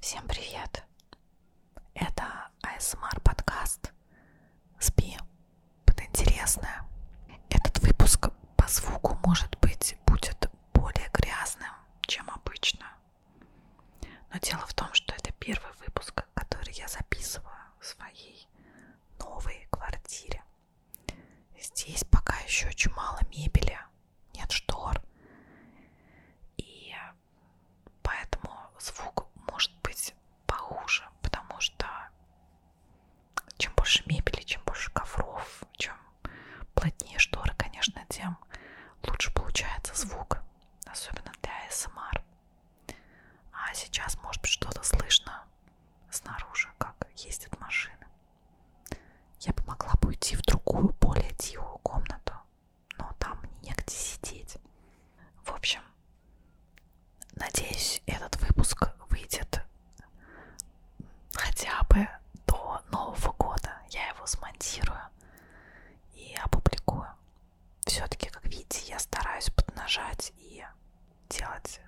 Всем привет! Это ASMR подкаст «Спи под интересное». Этот выпуск по звуку, может быть, будет более грязным, чем обычно. Но дело в том, что это первый выпуск, который я записываю в своей новой квартире. Здесь пока еще очень мало мебели, нет штор. И Поэтому звук может быть похуже, потому что чем больше мебели, чем больше ковров, чем плотнее шторы, конечно, тем лучше получается звук, особенно для СМР. Эм а сейчас, может быть, что-то слышно снаружи, как ездят машины. Я помогла бы уйти в другую, более тихую комнату, но там негде сидеть. В общем, надеюсь, этот выпуск выйдет хотя бы до Нового года. Я его смонтирую и опубликую. Все-таки, как видите, я стараюсь поднажать и делать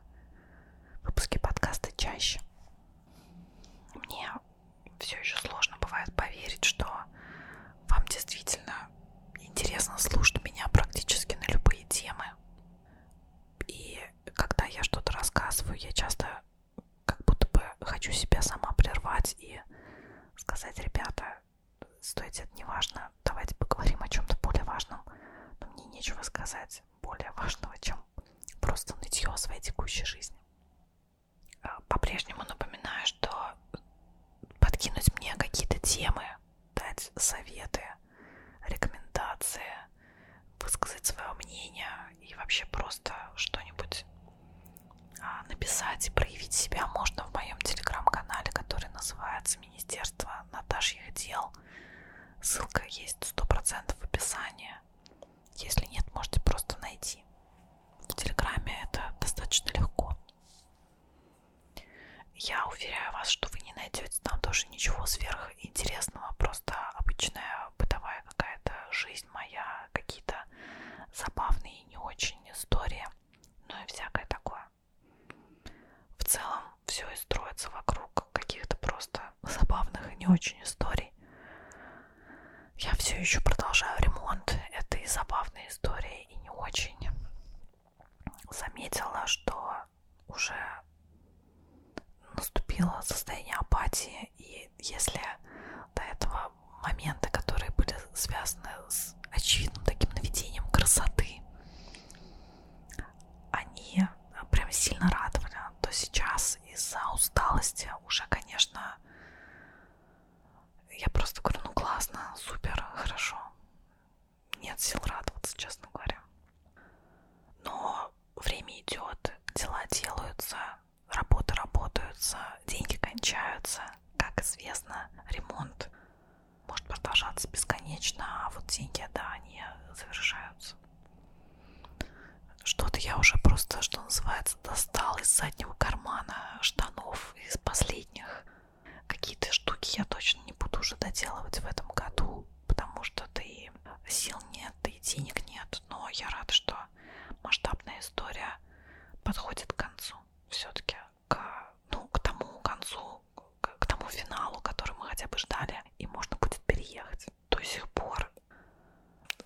выпуски подкаста чаще. Мне все еще сложно бывает поверить, что вам действительно интересно слушать меня практически на любые темы. И когда я что-то рассказываю, я часто как будто бы хочу себя сама прервать и сказать, ребята, стойте, это не важно, давайте поговорим о чем-то более важном. Но мне нечего сказать более важного, чем просто нытье о своей текущей жизни. Э, по-прежнему напоминаю, что подкинуть мне какие-то темы, дать советы, рекомендации, высказать свое мнение и вообще просто что-нибудь а, написать и проявить себя можно в моем телеграм-канале, который называется Министерство Наташьих дел. Ссылка есть 100% в описании. Если нет, можете просто найти в Телеграме это достаточно легко. Я уверяю вас, что вы не найдете там тоже ничего сверхинтересного, просто обычная бытовая какая-то жизнь моя, какие-то забавные и не очень истории, ну и всякое такое. В целом все и строится вокруг каких-то просто забавных и не очень историй. Я все еще продолжаю ремонт этой забавной истории и не очень заметила, что уже наступило состояние апатии. И если до этого моменты, которые были связаны с очевидным таким наведением красоты, они прям сильно радовали, то сейчас из-за усталости уже, конечно, я просто говорю, ну классно, супер, хорошо. Нет сил радоваться, честно говоря. Но время идет, дела делаются, работы работаются, деньги кончаются. Как известно, ремонт может продолжаться бесконечно, а вот деньги, да, они завершаются. Что-то я уже просто, что называется, достал из заднего кармана штанов, из последних. Какие-то штуки я точно не буду уже доделывать в этом году, потому что ты сил нет, и денег нет. Но я рада, что масштабная история подходит к концу. Все-таки к, ну, к тому концу, к, к тому финалу, который мы хотя бы ждали, и можно будет переехать. До сих пор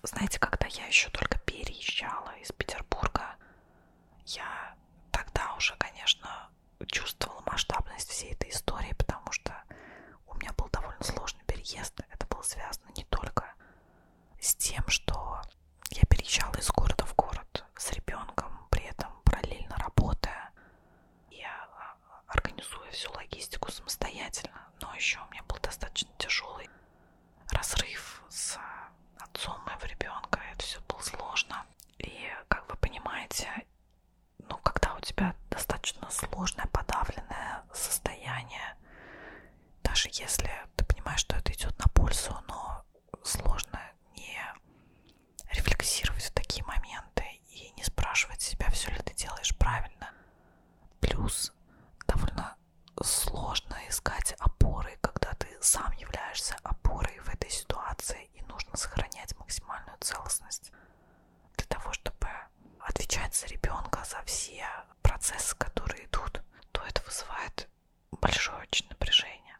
знаете, когда я еще только переезжала из Петербурга, я тогда уже, конечно, чувствовала масштабность всей этой истории, потому что у меня был довольно сложный переезд. Это было связано не только с тем, что я переезжала из города в город с ребенком, при этом параллельно работая. Я а, организую всю логистику самостоятельно, но еще у меня был достаточно тяжелый разрыв с отцом моего ребенка, это все было сложно. И, как вы понимаете, ну, когда у тебя достаточно сложное, подавленное состояние, даже если ты понимаешь, что это идет на пользу, но сложно не рефлексировать в такие моменты и не спрашивать себя, все ли ты делаешь правильно. Плюс довольно сложно искать опоры, когда ты сам являешься опорой в этой ситуации, и нужно сохранять максимальную целостность для того, чтобы отвечать за ребенка, за все процессы, которые идут, то это вызывает большое очень напряжение.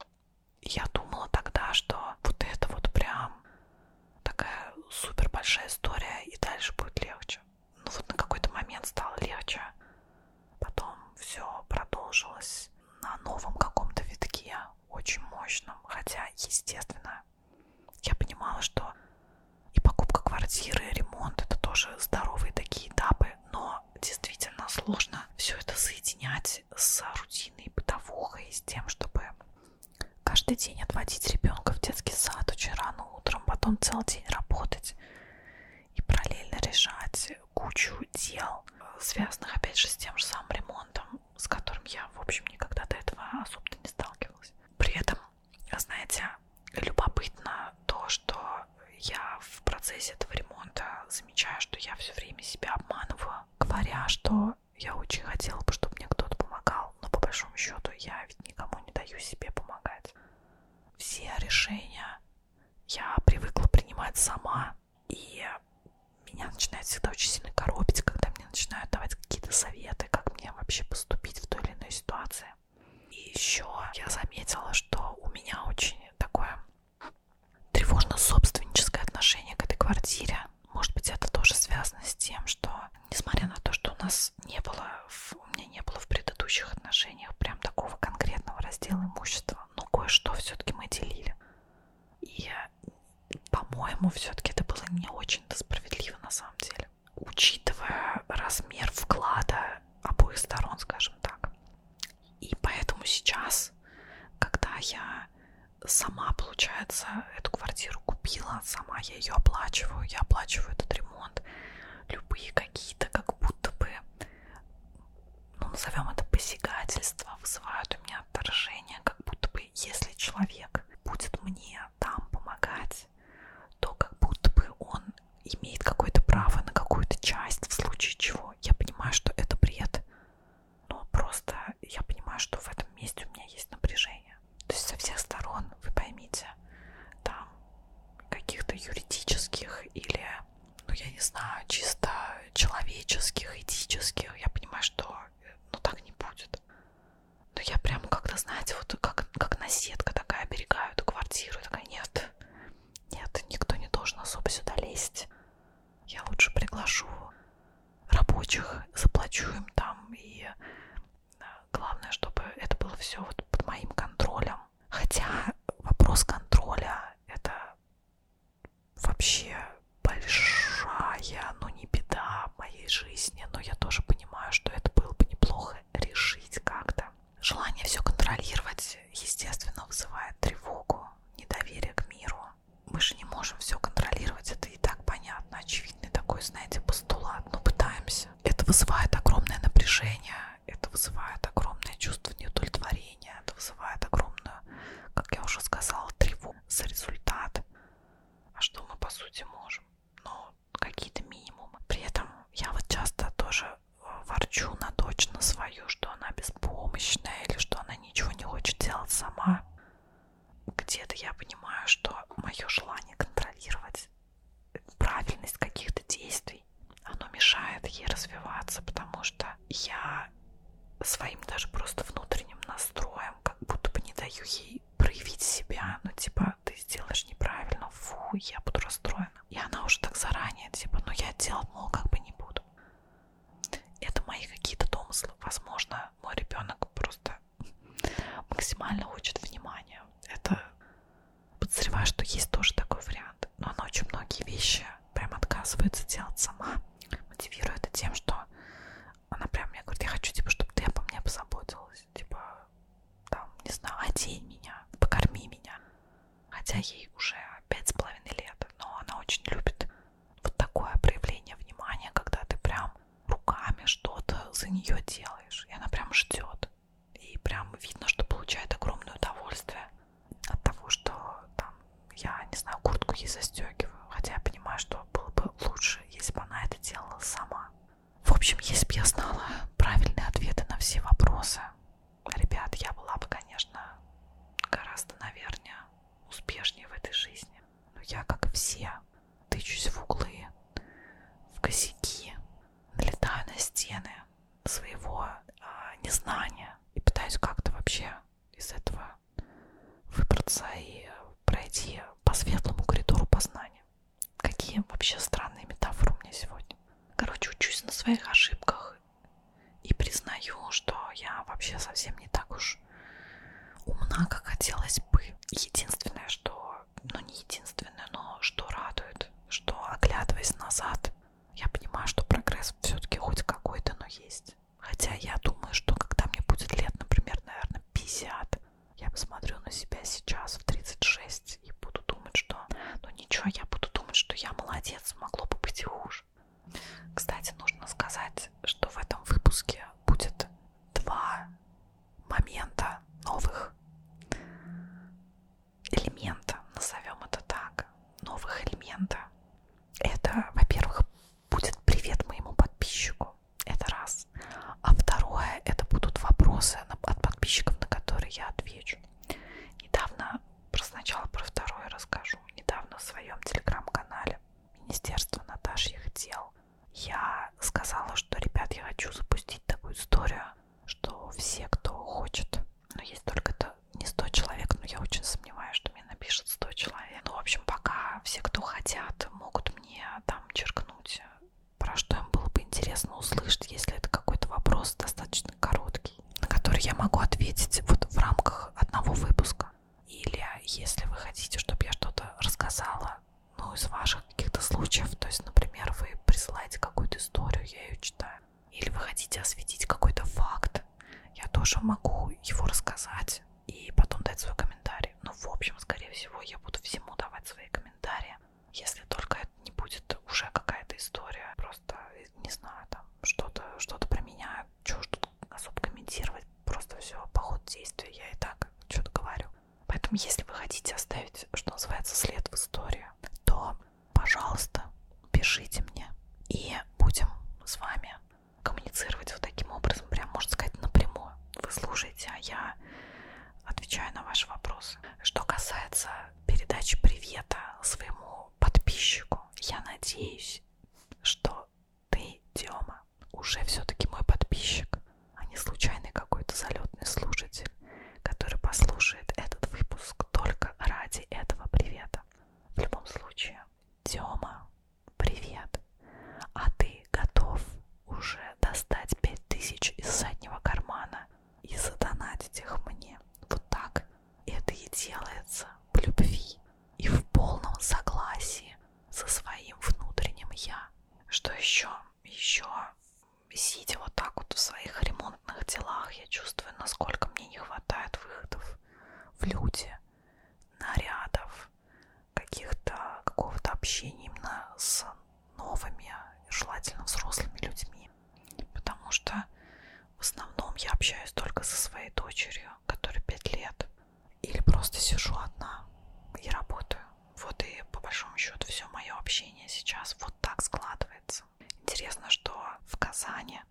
Я думала тогда, что вот это вот прям такая супер большая история, и дальше будет легче. Но ну вот на какой-то момент стало легче. Потом все продолжилось на новом каком-то витке, очень мощном. Хотя, естественно, я понимала, что и покупка квартиры, и ремонт это тоже здоровые такие этапы, но действительно сложно все это соединять с рутиной бытовухой, с тем, чтобы каждый день отводить ребенка в детский сад очень рано утром, потом целый день работать и параллельно решать кучу дел, связанных опять же с тем же самым ремонтом, с которым я, в общем, никогда до этого особо не сталкивалась. При этом, знаете, любопытно то, что я в процессе этого ремонта замечаю, что я все время себя обманываю, говоря, что я очень хотела бы, чтобы мне кто-то помогал, но по большому счету я ведь никому не даю себе помогать. Все решения я привыкла принимать сама, и меня начинает всегда очень сильно коробить, когда мне начинают давать какие-то советы, как мне вообще поступить в той или иной ситуации. И еще я заметила, что у меня очень такое тревожно-собственническое отношение к этой квартире. Может быть, это тоже связано с тем, что, несмотря на то, что у нас не было, в, у меня не было в предыдущих отношениях прям такого конкретного раздела имущества, количество, но «Ну, кое-что все-таки мы делили. И, по-моему, все-таки это было не очень-то справедливо на самом деле. Учитывая размер вклада обоих сторон, скажем так. И поэтому сейчас, когда я сама, получается, эту квартиру купила, сама я ее оплачиваю, я оплачиваю этот ремонт, любые какие-то как будто бы ну, назовем это посягательство, вызывают у меня отторжение, как будто бы если человек будет мне там помогать, то как будто бы он имеет какое-то право на какую-то часть, в случае чего. Я понимаю, что это бред, но просто я понимаю, что в этом месте у меня есть напряжение. То есть со всех сторон, вы поймите, там каких-то юридических или ну, я не знаю, чисто человеческих, этических, я понимаю, что, ну, так не будет. Но я прям как-то, знаете, вот как, как наседка такая, оберегаю эту квартиру, такая, нет, нет, никто не должен особо сюда лезть. Я лучше приглашу рабочих, заплачу им там, и главное, чтобы это было все вот под моим контролем. Хотя вопрос контроля это вообще большая, ну не беда в моей жизни, но я тоже понимаю, что это было бы неплохо решить как-то. Желание все контролировать, естественно, вызывает тревогу, недоверие к миру. Мы же не можем все контролировать, это и так понятно, очевидный такой, знаете, постулат, но пытаемся. Это вызывает огромное напряжение, это вызывает огромное чувство неудовлетворения, это вызывает огромную, как я уже сказала, тревогу за результат. А что мы по сути можем? Ну, какие-то минимумы. При этом я вот часто тоже э, ворчу на дочь на свою, что она беспомощная или что она ничего не хочет делать сама. Где-то я понимаю, что мое желание контролировать правильность каких-то действий силой. Оно мешает ей развиваться, потому что я своим даже просто внутренним настроем как будто бы не даю ей проявить себя. Ну, типа, ты сделаешь неправильно, фу, я буду расстроена. И она уже так заранее, типа, ну я делать, мол, как бы не буду. Это мои какие-то домыслы. Возможно, мой ребенок просто максимально хочет внимания. Это подозреваю, что есть тоже такой вариант. Но она очень многие вещи прям отказывается делать сама. Мотивирую это тем, что она прям мне говорит, я хочу, типа, чтобы ты обо мне позаботилась. Типа, там, не знаю, одень меня, покорми меня. Хотя ей уже пять с половиной лет, но она очень любит вот такое проявление внимания, когда ты прям руками что-то за нее делаешь. И она прям ждет. И прям видно, что получает огромное удовольствие от того, что там, я, не знаю, куртку ей застегиваю, хотя я понимаю, что было бы лучше, если бы она это делала сама. В общем, если бы я знала правильные ответы на все вопросы, ребят, я была бы, конечно, гораздо, наверное, успешнее в этой жизни. Но я, как все, тычусь в углы, в косяки, налетаю на стены, своего а, незнания и пытаюсь как-то вообще из этого выбраться и пройти по светлому коридору познания. Какие вообще странные метафоры у меня сегодня. Короче, учусь на своих ошибках и признаю, что я вообще совсем не так уж умна, как хотелось бы. Единственное, что, ну не единственное, но что радует, что оглядываясь назад, я понимаю, что прогресс все-таки хоть какой-то, но есть. Хотя я думаю, что когда мне будет лет, например, наверное, 50, я посмотрю на себя сейчас в 36 и буду думать, что... Ну ничего, я буду думать, что я молодец, могло бы быть и хуже. Кстати, нужно сказать, что в этом выпуске будет два момента новых элемента, назовем это так, новых элемента, это, во-первых, будет привет моему подписчику, это раз. А второе, это будут вопросы от подписчиков, на которые я отвечу. Недавно, про сначала про второе расскажу, недавно в своем телеграм-канале Министерство Наташьих дел я сказала, что, ребят, я хочу запустить такую историю, что все, кто хочет но есть только-то не 100 человек, но я очень сомневаюсь, что мне напишет 100 человек. Ну, в общем, пока все, кто хотят, могут мне там черкнуть, про что им было бы интересно услышать, если это какой-то вопрос достаточно короткий, на который я могу ответить вот в рамках одного выпуска. Или если вы хотите, чтобы я что-то рассказала, ну, из ваших каких-то случаев, то есть, например, вы присылаете какую-то историю, я ее читаю, такое. Или вы хотите осветить какой-то факт, я тоже могу его рассказать и потом дать свой комментарий. Но ну, в общем, скорее всего, я буду всему давать свои комментарии, если только это не будет уже какая-то история, просто, э, не знаю, там, что-то что про меня, чего что особо комментировать, просто все по ходу действия, я и так что-то говорю. Поэтому, если вы хотите оставить, что называется, след в истории, то пожалуйста, пишите мне. И будем с вами коммуницировать вот таким образом, прям, можно сказать, напрямую. Вы слушаете, а я отвечаю на ваши вопросы. Что касается передачи привета своему подписчику, я надеюсь, что ты, Тёма, уже все-таки мой подписчик, а не случайный какой-то залетный слушатель, который послушает этот выпуск только ради этого привета. В любом случае, Тёма, привет. А ты готов уже достать пять тысяч из заднего кармана и задонатить их мне? Вот так. Это и делается в любви и в полном согласии со своим внутренним я. Что еще? Еще сидя вот так вот в своих ремонтах ремонтных делах я чувствую, насколько мне не хватает выходов в люди, нарядов, каких-то какого-то общения именно с новыми, желательно взрослыми людьми. Потому что в основном я общаюсь только со своей дочерью, которой 5 лет. Или просто сижу одна и работаю. Вот и по большому счету все мое общение сейчас вот так складывается. Интересно, что в Казани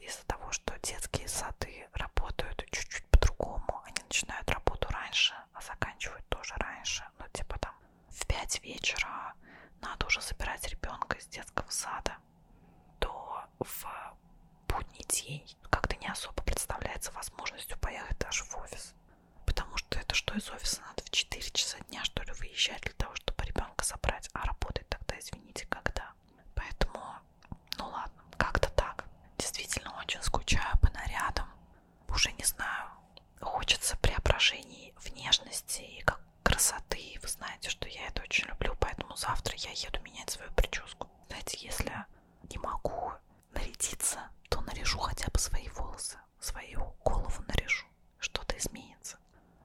из-за того, что детские сады работают чуть-чуть по-другому, они начинают работу раньше, а заканчивают тоже раньше, ну типа там в 5 вечера надо уже забирать ребенка из детского сада, то в будний день как-то не особо представляется возможностью поехать даже в офис. Потому что это что из офиса надо в 4 часа дня, что ли, выезжать для того, чтобы ребенка забрать, а работать тогда, извините, когда? Поэтому, ну ладно, как-то так. Действительно очень скучаю по нарядам. Уже не знаю, хочется преображений внешности и как красоты. Вы знаете, что я это очень люблю, поэтому завтра я еду менять свою прическу. Знаете, если не могу нарядиться, то наряжу хотя бы свои волосы, свою голову наряжу. Что-то изменится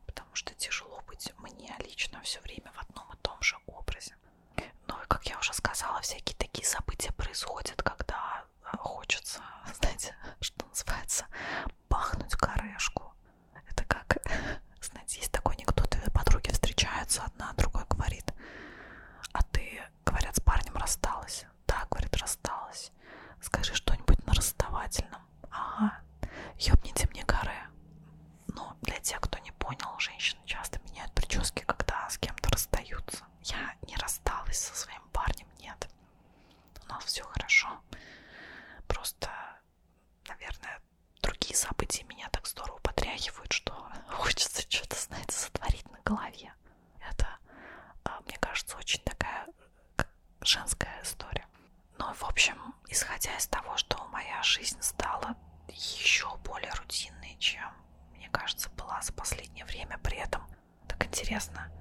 потому что тяжело быть мне лично все время в одном и том же образе. Ну и, как я уже сказала, всякие такие события происходят, когда э, хочется, знаете, что называется, бахнуть корешку. Это как, знаете, есть такой анекдот, две подруги встречаются, одна другой говорит, а ты, говорят, с парнем рассталась. Да, говорит, рассталась. Скажи что-нибудь на расставательном. Женщина. Ага. Ёбните мне горы. Ну, для тех, кто не понял, женщины часто меняют прически, когда с кем-то расстаются. Я не рассталась со своим парнем, нет. У нас все хорошо. Просто, наверное, другие события меня так здорово потряхивают, что хочется что-то, знаете, сотворить на голове. Это, а, мне кажется, очень такая женская история. Ну, в общем, исходя из того, что моя жизнь стала еще более рутинной, чем, мне кажется, была за последнее время, при этом так интересно,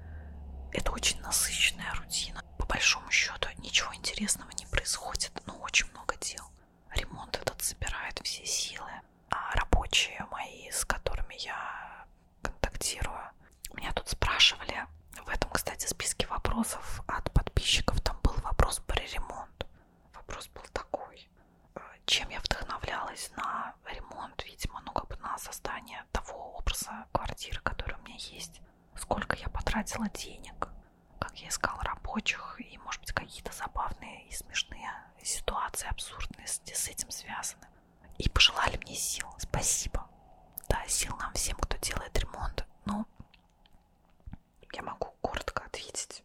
это очень насыщенная рутина. По большому счету ничего интересного не происходит, но очень много дел. Ремонт этот собирает все силы, а рабочие мои, с которыми я контактирую, меня тут спрашивали, в этом, кстати, списке вопросов от подписчиков там был вопрос про ремонт. Вопрос был такой. Э, чем я вдохновлялась на ремонт, видимо, ну как бы на создание того образа квартиры, который у меня есть. Сколько я потратила денег, как я искала рабочих, и, может быть, какие-то забавные и смешные ситуации, абсурдные с этим связаны. И пожелали мне сил. Спасибо. Да, сил нам всем, кто делает ремонт. Ну, я могу коротко ответить,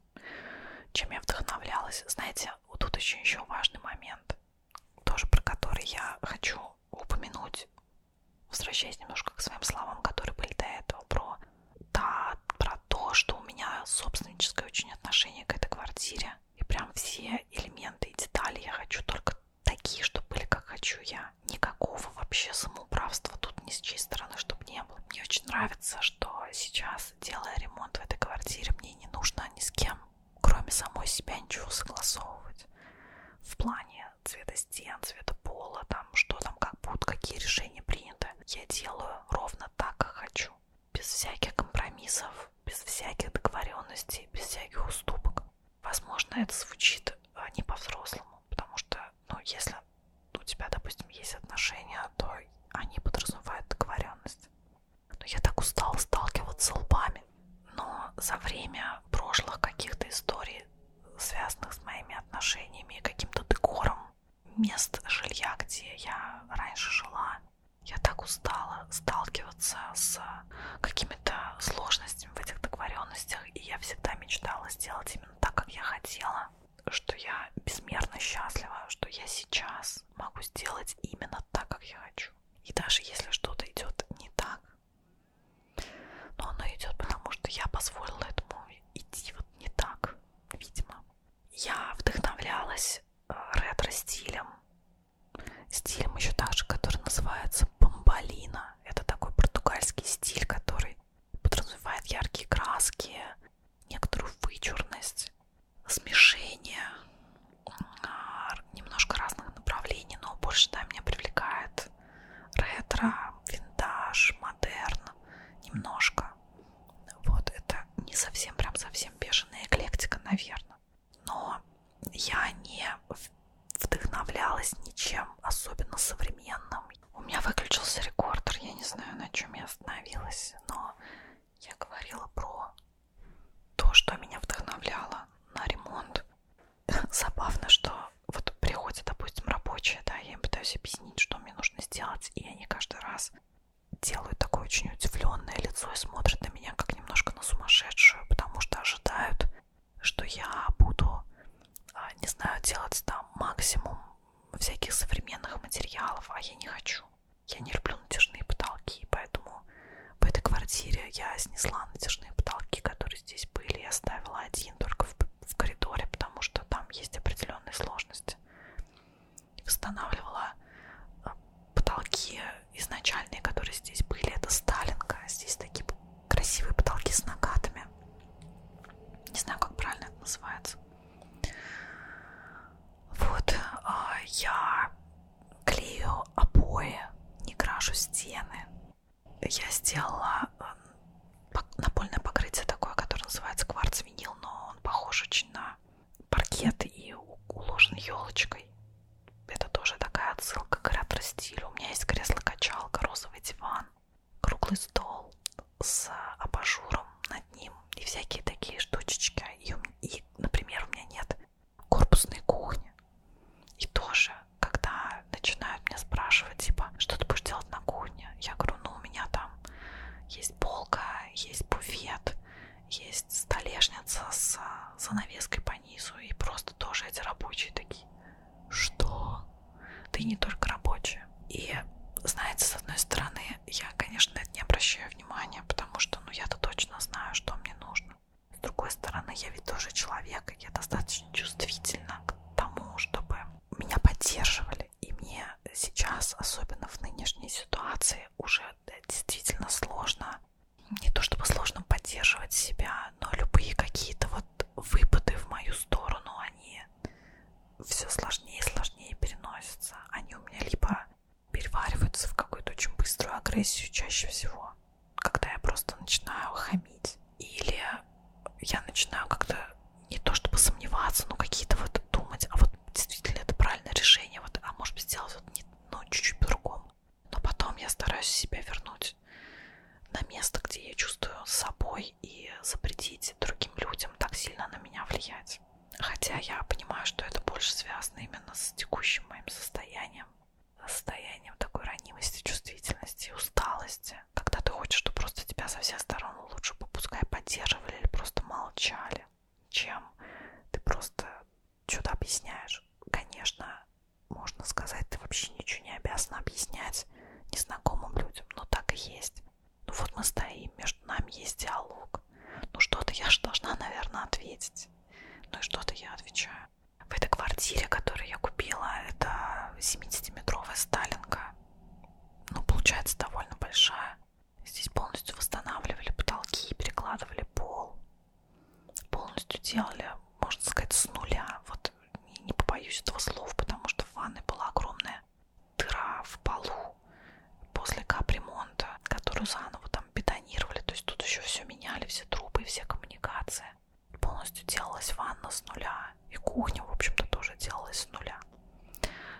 чем я вдохновлялась. Знаете, вот тут еще, еще важный момент, тоже про который я хочу упомянуть, возвращаясь немножко к своим словам, которые были до этого, про, да, про то, что у меня собственническое очень отношение к этой квартире. И прям все элементы и детали я хочу только такие, чтобы были как хочу я никакого вообще самоуправства тут ни с чьей стороны, чтобы не было. Мне очень нравится, что сейчас, делая ремонт в этой квартире, мне не нужно ни с кем, кроме самой себя, ничего согласовывать. В плане цвета стен, цвета пола, там, что там, как будут, какие решения приняты. Я делаю ровно так, как хочу. Без всяких компромиссов, без всяких договоренностей, без всяких уступок. Возможно, это звучит а, не по-взрослому, потому что, ну, если у тебя, допустим, есть отношения, а то они подразумевают договоренность. Но ну, я так устала сталкиваться лбами. Но за время прошлых каких-то историй, связанных с моими отношениями и каким-то декором мест жилья, где я раньше жила, я так устала сталкиваться с какими-то сложностями в этих договоренностях, и я всегда мечтала сделать именно так, как я хотела, что я безмерно счастлива, что я сейчас могу сделать именно так, как я хочу. И даже если что-то идет не так, но оно идет потому, что я позволила этому идти вот не так, видимо. Я вдохновлялась э, ретро-стилем, стилем еще также, который называется бомбалина. Это такой португальский стиль, который подразумевает яркие краски, некоторую вычурность, смешение а, немножко разных направлений, но больше да, меня привлекает ретро, винтаж, модерн, немножко. Вот это не совсем прям совсем бешеная эклектика, наверное. Но я не вдохновлялась ничем особенно современным домой. У меня выключился рекордер, я не знаю, на чем я остановилась, но я говорила про то, что меня вдохновляло на ремонт. Забавно, что вот приходит, допустим, рабочая, да, я им пытаюсь объяснить, что мне нужно сделать, и они каждый раз делают такое очень удивленное лицо и смотрят на меня как немножко на сумасшедшую, потому что ожидают, что я буду а, не знаю, делать там максимум всяких современных материалов, а я не хочу. Я не люблю натяжные потолки, поэтому в этой квартире я снесла натяжные потолки, которые здесь были, и оставила один только в, в коридоре, потому что там есть определенные сложности. Восстанавливала э, потолки изначальные, которые здесь были, это сталинка, а здесь такие красивые потолки с накатами. Не знаю, как правильно это называется. Вот а, я клею обои, не крашу стены. Я сделала э, напольное покрытие такое, которое называется кварц-винил, но он похож очень на паркет и уложен елочкой. Это тоже такая отсылка к ретро-стилю. У меня есть кресло-качалка, розовый диван круглый стол с абажуром над ним и всякие такие штучечки. И, и например, у меня нет корпусной кухни. И тоже, когда начинают меня спрашивать, типа, что ты будешь делать на кухне? Я говорю, ну, у меня там есть полка, есть буфет, есть столешница с занавеской по низу и просто тоже эти рабочие такие что ты не только рабочая. И, знаете, с одной стороны, я, конечно, это не обращаю внимания, потому что, ну, я-то точно знаю, что мне нужно. С другой стороны, я ведь тоже человек, и я достаточно чувствительна к тому, чтобы меня поддерживали. И мне сейчас, особенно в нынешней ситуации, уже действительно сложно, не то чтобы сложно поддерживать себя, но любые какие-то вот вот выпады в мою сторону, они все сложнее и сложнее переносятся. Они у меня либо перевариваются в какую-то очень быструю агрессию чаще всего, когда я просто начинаю хамить. Или я начинаю как-то не то чтобы сомневаться, но какие-то вот думать, а вот действительно это правильное решение, вот, а может быть сделать вот не, ну, чуть-чуть по-другому. Но потом я стараюсь себя вернуть на место, где я чувствую собой мной и запретить другим людям так сильно на меня влиять. Хотя я понимаю, что это больше связано именно с текущим моим состоянием, состоянием такой ранимости, чувствительности, усталости, когда ты хочешь, чтобы просто тебя со всех сторон лучше попускай поддерживали или просто молчали, чем ты просто что-то объясняешь. Конечно, можно сказать, ты вообще ничего не обязана объяснять незнакомым людям, но так и есть. Ну вот мы стоим, между нами есть диалог. Ну что-то я же должна, наверное, ответить. Ну и что-то я отвечаю. В этой квартире, которую я купила, это 70-метровая сталинка. Ну, получается, довольно большая. Здесь полностью восстанавливали потолки, перекладывали пол. Полностью делали, можно сказать, с нуля. Вот не побоюсь этого слов, потому что в ванной была огромная дыра в полу после капремонта, которую заново там бетонировали, то есть тут еще все меняли, все трубы, все коммуникации. Полностью делалась ванна с нуля, и кухня, в общем-то, тоже делалась с нуля.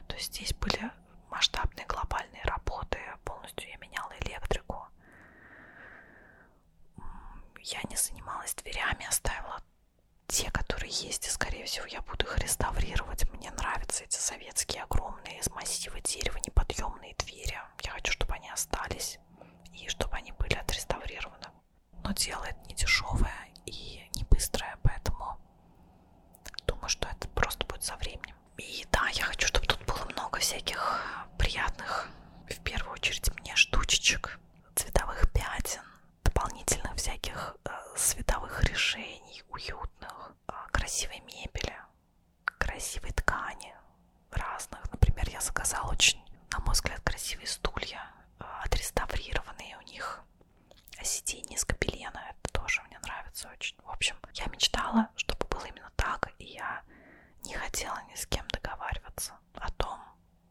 То есть здесь были масштабные глобальные работы, полностью я меняла электрику. Я не занималась дверями, оставила те, которые есть, и, скорее всего, я буду их реставрировать. Мне нравятся эти советские огромные из массива дерева неподъемные двери. Я хочу, чтобы они остались и чтобы они были отреставрированы. Но дело это не дешевое и не быстрое, поэтому думаю, что это просто будет со временем. И да, я хочу, чтобы тут было много всяких приятных, в первую очередь, мне штучечек, цветовых пятен, дополнительных всяких э, световых решений, уютных, э, красивой мебели, красивой ткани разных. Например, я заказала очень, на мой взгляд, красивые стулья, э, отреставрированные у них а сиденье из капелена. Это тоже мне нравится очень. В общем, я мечтала, чтобы было именно так, и я не хотела ни с кем договариваться о том,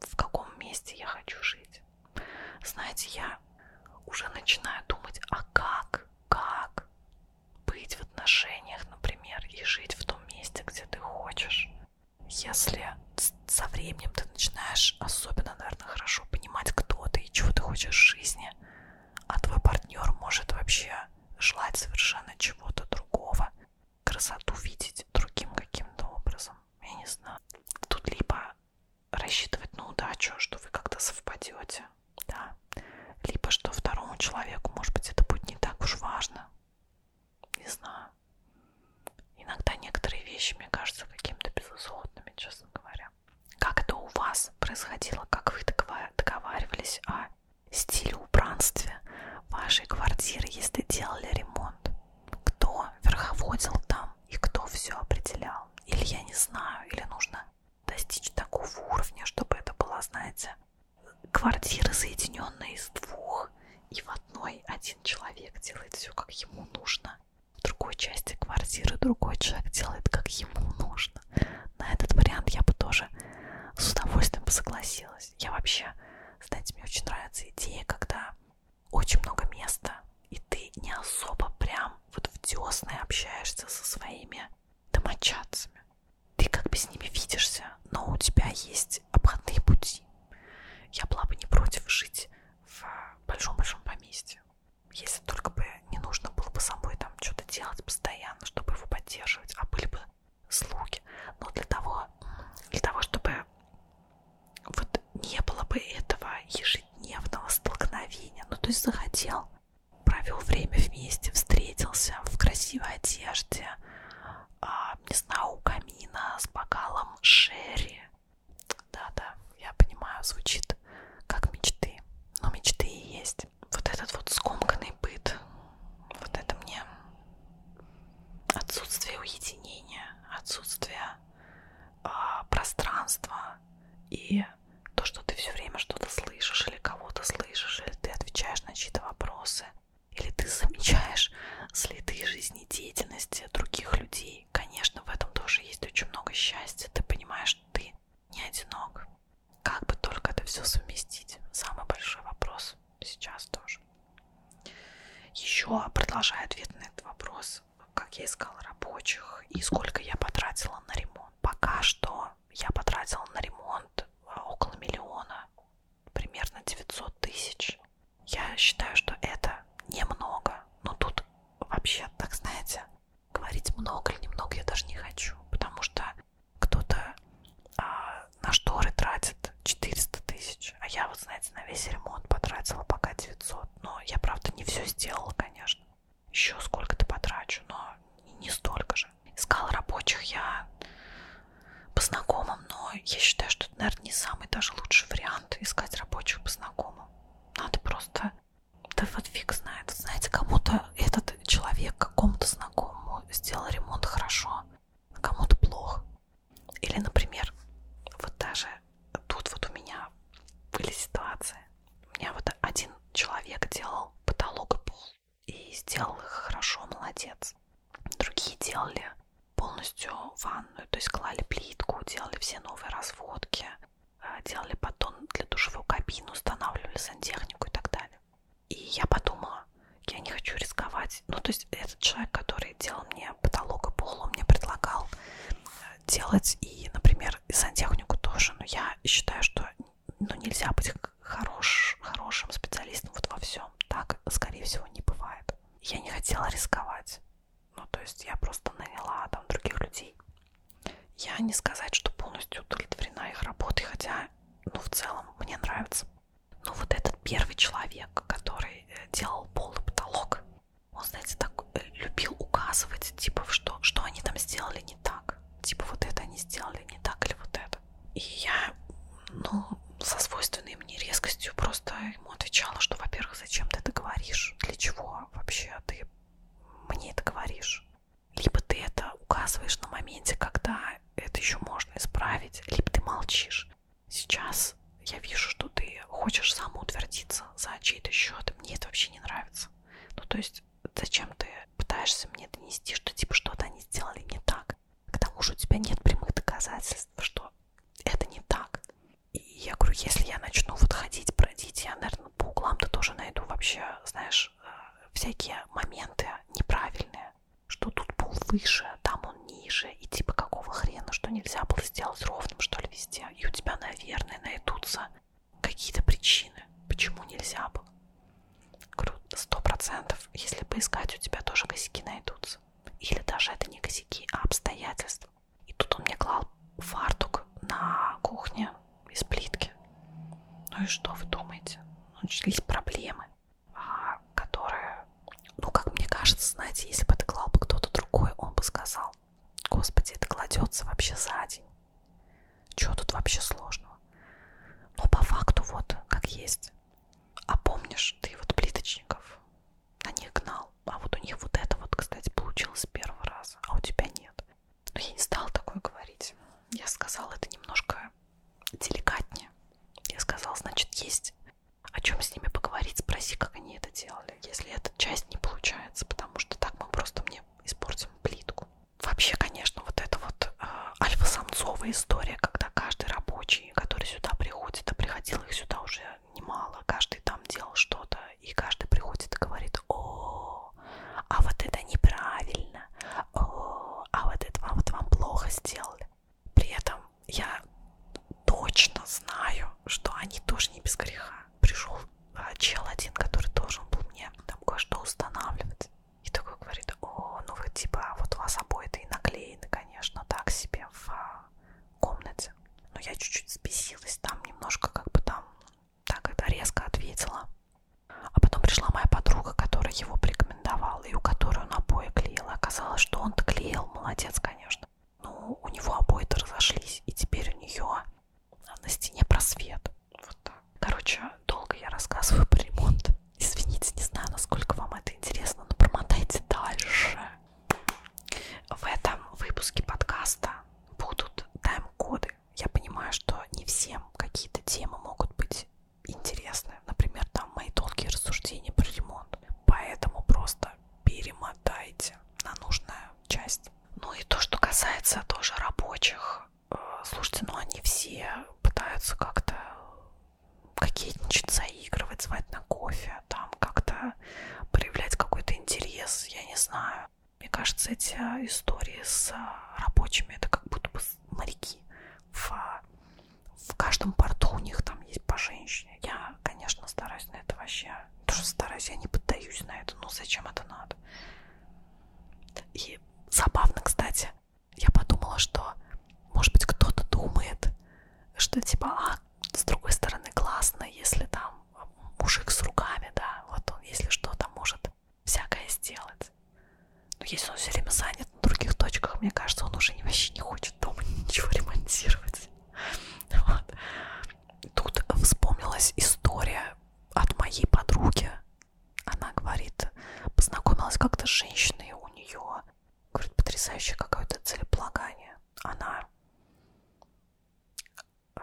в каком месте я хочу жить. Знаете, я уже начинаю думать, а как, как быть в отношениях, например, и жить в том месте, где ты хочешь. Если со временем ты начинаешь особенно, наверное, хорошо понимать, кто ты и чего ты хочешь в жизни, а твой партнер может вообще желать совершенно чего-то другого, красоту видеть другим каким-то образом. Я не знаю. Тут либо рассчитывать на удачу, что вы как-то совпадете, да, либо что второму человеку, может быть, это будет не так уж важно, не знаю. Иногда некоторые вещи, мне кажется, какими-то безусловными, честно говоря. Как это у вас происходило, как вы договаривались о стиле убранстве вашей квартиры, если делали ремонт? Кто верховодил там? и кто все определял. Или я не знаю, или нужно достичь такого уровня, чтобы это было, знаете, квартиры, соединенные из двух, и в одной один человек делает все, как ему нужно. В другой части квартиры другой человек делает, как ему нужно. На этот вариант я бы тоже с удовольствием согласилась. Я вообще, знаете, мне очень нравится идея, когда очень много места, и ты не особо прям вот в десны общаешься со своими домочадцами. Ты как бы с ними видишься, но у тебя есть обходные пути. Я была бы не против жить в большом-большом поместье. Если только бы не нужно было бы собой там что-то делать постоянно, чтобы его поддерживать, а были бы слуги. Но для того, для того, чтобы вот не было бы этого ежедневного столкновения. Ну, то есть захотел, провел время вместе, встретился в красивой одежде, а, не знаю, у камина с бокалом Шерри. Да-да, я понимаю, звучит как мечты. Но мечты и есть. Вот этот вот скомканный быт, вот это мне отсутствие уединения, отсутствие а, пространство и то, что ты все время что-то слышишь или кого-то слышишь, или ты отвечаешь на чьи-то вопросы, или ты замечаешь следы жизнедеятельности других людей. Конечно, в этом тоже есть очень много счастья. Ты понимаешь, ты не одинок. Как бы только это все совместить? Самый большой вопрос сейчас тоже. Еще продолжая ответ на этот вопрос, как я искала рабочих и сколько я потратила на ремонт. Пока что я потратила на ремонт а, около миллиона, примерно 900 тысяч. Я считаю, что это немного, но тут вообще, так знаете, говорить много или немного я даже не хочу, потому что кто-то а, на шторы тратит 400 тысяч, а я вот, знаете, на весь ремонт потратила пока 900. Вот. Но я, правда, не все сделала, конечно. Еще сколько-то потрачу, но не столько же. Искала рабочих я по знакомым, но я считаю, что это, наверное, не самый даже лучший вариант искать рабочих по знакомым. Надо просто... Да вот фиг знает. Знаете, кому-то этот человек, какому-то знакомому сделал ремонт хорошо, а кому-то плохо. Или, например, вот даже тут вот у меня были ситуации. У меня вот один человек делал потолок и пол и сделал их хорошо, молодец. Другие делали полностью ванную, то есть клали плитку, делали все новые разводки, э, делали батон для душевой кабины, устанавливали сантехнику и так далее. И я подумала, я не хочу рисковать. Ну, то есть этот человек, который делал мне потолок и пол, он мне предлагал э, делать и, например, и сантехнику тоже. Но я считаю, что ну, нельзя быть хорош, хорошим специалистом вот во всем. Так, скорее всего, не бывает. Я не хотела рисковать. Ну, то есть я просто наняла там других людей. Я не сказать, что полностью удовлетворена их работой, хотя, ну, в целом, мне нравится. Но ну, вот этот первый человек, который э, делал пол и потолок, он, знаете, так э, любил указывать, типа, что, что они там сделали не так. Типа, вот это они сделали не так или вот это. И я, ну, со свойственной мне резкостью просто ему отвечала, что, во-первых, зачем ты это говоришь? Для чего вообще ты мне это говоришь? Либо ты это указываешь на моменте, когда это еще можно исправить, либо ты молчишь. Сейчас я вижу, что ты хочешь самоутвердиться за чей-то счет, мне это вообще не нравится. Ну, то есть, зачем ты пытаешься мне донести, что типа что-то они сделали не так? К тому же у тебя нет прямых доказательств, что это не так. И я говорю, если я начну вот ходить, бродить, я, наверное, по углам-то тоже найду вообще, знаешь, э, всякие моменты неправильные, что тут был выше, там он ниже, и типа какого хрена, что нельзя было сделать ровным, что ли, везде месте, и у тебя, наверное, найдутся какие-то причины, почему нельзя было. Сто процентов, если поискать, у тебя тоже косяки найдутся. Или даже это не косяки, а обстоятельства. И тут он мне клал фартук на кухне из плитки. Ну и что вы думаете? Начались проблемы, а, которые, ну как мне кажется, знаете, если бы это клал бы кто-то другой, он бы сказал, Господи, это кладется вообще за день. Чего тут вообще сложного? Но по факту вот как есть. А помнишь, ты вот плиточников на них гнал. А вот у них вот это вот, кстати, получилось с первого раза, а у тебя нет. Но ну, я не стала такое говорить. Я сказала это немножко деликатнее. Я сказала, значит, есть о чем с ними поговорить, спроси, как они это делали, если эта часть не получается, потому что так мы просто мне испортим плитку. Вообще, конечно, вот эта вот э, альфа-самцовая история, когда каждый рабочий, который сюда приходит, а приходил их сюда уже немало, каждый там делал что-то, и каждый приходит и говорит, о, а вот это неправильно, о, а вот это а вот вам плохо сделали. При этом я точно знаю, что они тоже не без греха пришел а, чел один, который должен был мне там кое-что устанавливать. И такой говорит, о, ну вы типа, вот у вас обои-то и наклеены, конечно, так себе в а, комнате. Но я чуть-чуть сбесилась, там немножко как бы там так это резко ответила. А потом пришла моя подруга, которая его порекомендовала, и у которой он обои клеил. Оказалось, что он клеил, молодец, конечно но ну, у него обои-то разошлись, и теперь у нее на стене просвет. Вот так. Короче, долго я рассказываю про ремонт. Извините, не знаю, насколько вам это интересно, но промотайте дальше. В этом выпуске подкаста будут тайм-коды. Я понимаю, что не всем какие-то темы могут быть интересны. Например, там мои долгие рассуждения про ремонт. Поэтому просто перемотайте на нужную часть. Ну и то, что касается тоже рабочих. Э, слушайте, ну они все пытаются как-то кокетничать, заигрывать, звать на кофе, там как-то проявлять какой-то интерес, я не знаю. Мне кажется, эти а, истории с а, рабочими, это как будто бы моряки. В, а, в каждом порту у них там есть по женщине. Я, конечно, стараюсь на это вообще я тоже стараюсь, я не поддаюсь на это, ну зачем это надо? И забавно, кстати, я подумала, что, может быть, кто-то думает, что типа, а, с другой стороны, классно, если там мужик с руками, да, вот он, если что, там может всякое сделать. Но ну, если он все время занят на других точках, мне кажется, он уже вообще не хочет дома ничего ремонтировать. Вот. Тут вспомнилась история от моей подруги. Она говорит, познакомилась как-то с женщиной у нее. Говорит, потрясающее какое-то целеполагание. Она э,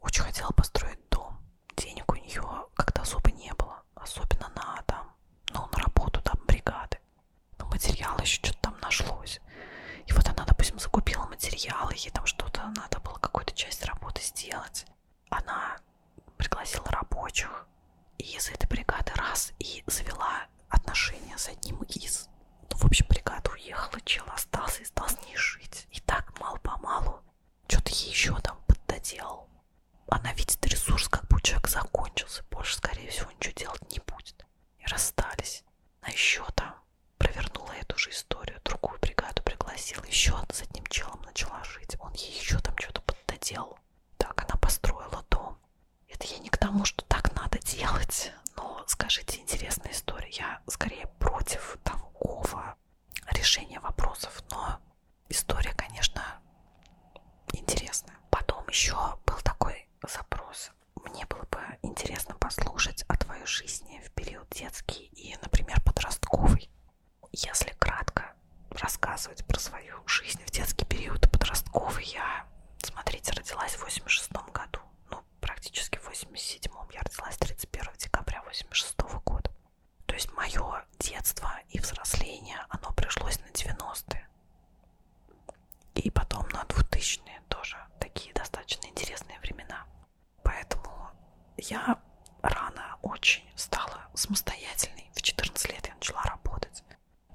очень хотела построить дом. Денег у нее как-то особо не было. Особенно на там, ну, на работу там бригады. Но материал еще что-то там нашлось вернуть. И вот она, допустим, закупила материалы, ей там что-то надо было, какую-то часть работы сделать. Она пригласила рабочих и из этой бригады раз и завела отношения с одним из. Ну, в общем, бригада уехала, чел остался и стал с ней жить. И так мало-помалу что-то ей еще там поддоделал. Она видит ресурс, как бы человек закончился, больше, скорее всего, ничего делать не будет. И расстались. А еще там провернула эту же историю, другую бригаду пригласила, еще с одним челом начала жить, он ей еще там что-то поддоделал. Так она построила дом. Это я не к тому, что так надо делать, но скажите, интересная история. Я скорее против такого решения вопросов, но история, конечно, интересная. Потом еще был такой запрос. Мне было бы интересно послушать о твоей жизни в период детский детский и, например, подростковый. Если кратко рассказывать про свою жизнь в детский период и подростковый, я, смотрите, родилась в 86 году. Ну, практически в 87-м. Я родилась 31 декабря 86 года. То есть мое детство и взросление, оно пришлось на 90-е. И потом на 2000-е тоже такие достаточно интересные времена. Поэтому я рано очень стала самостоятельной. В 14 лет я начала работать.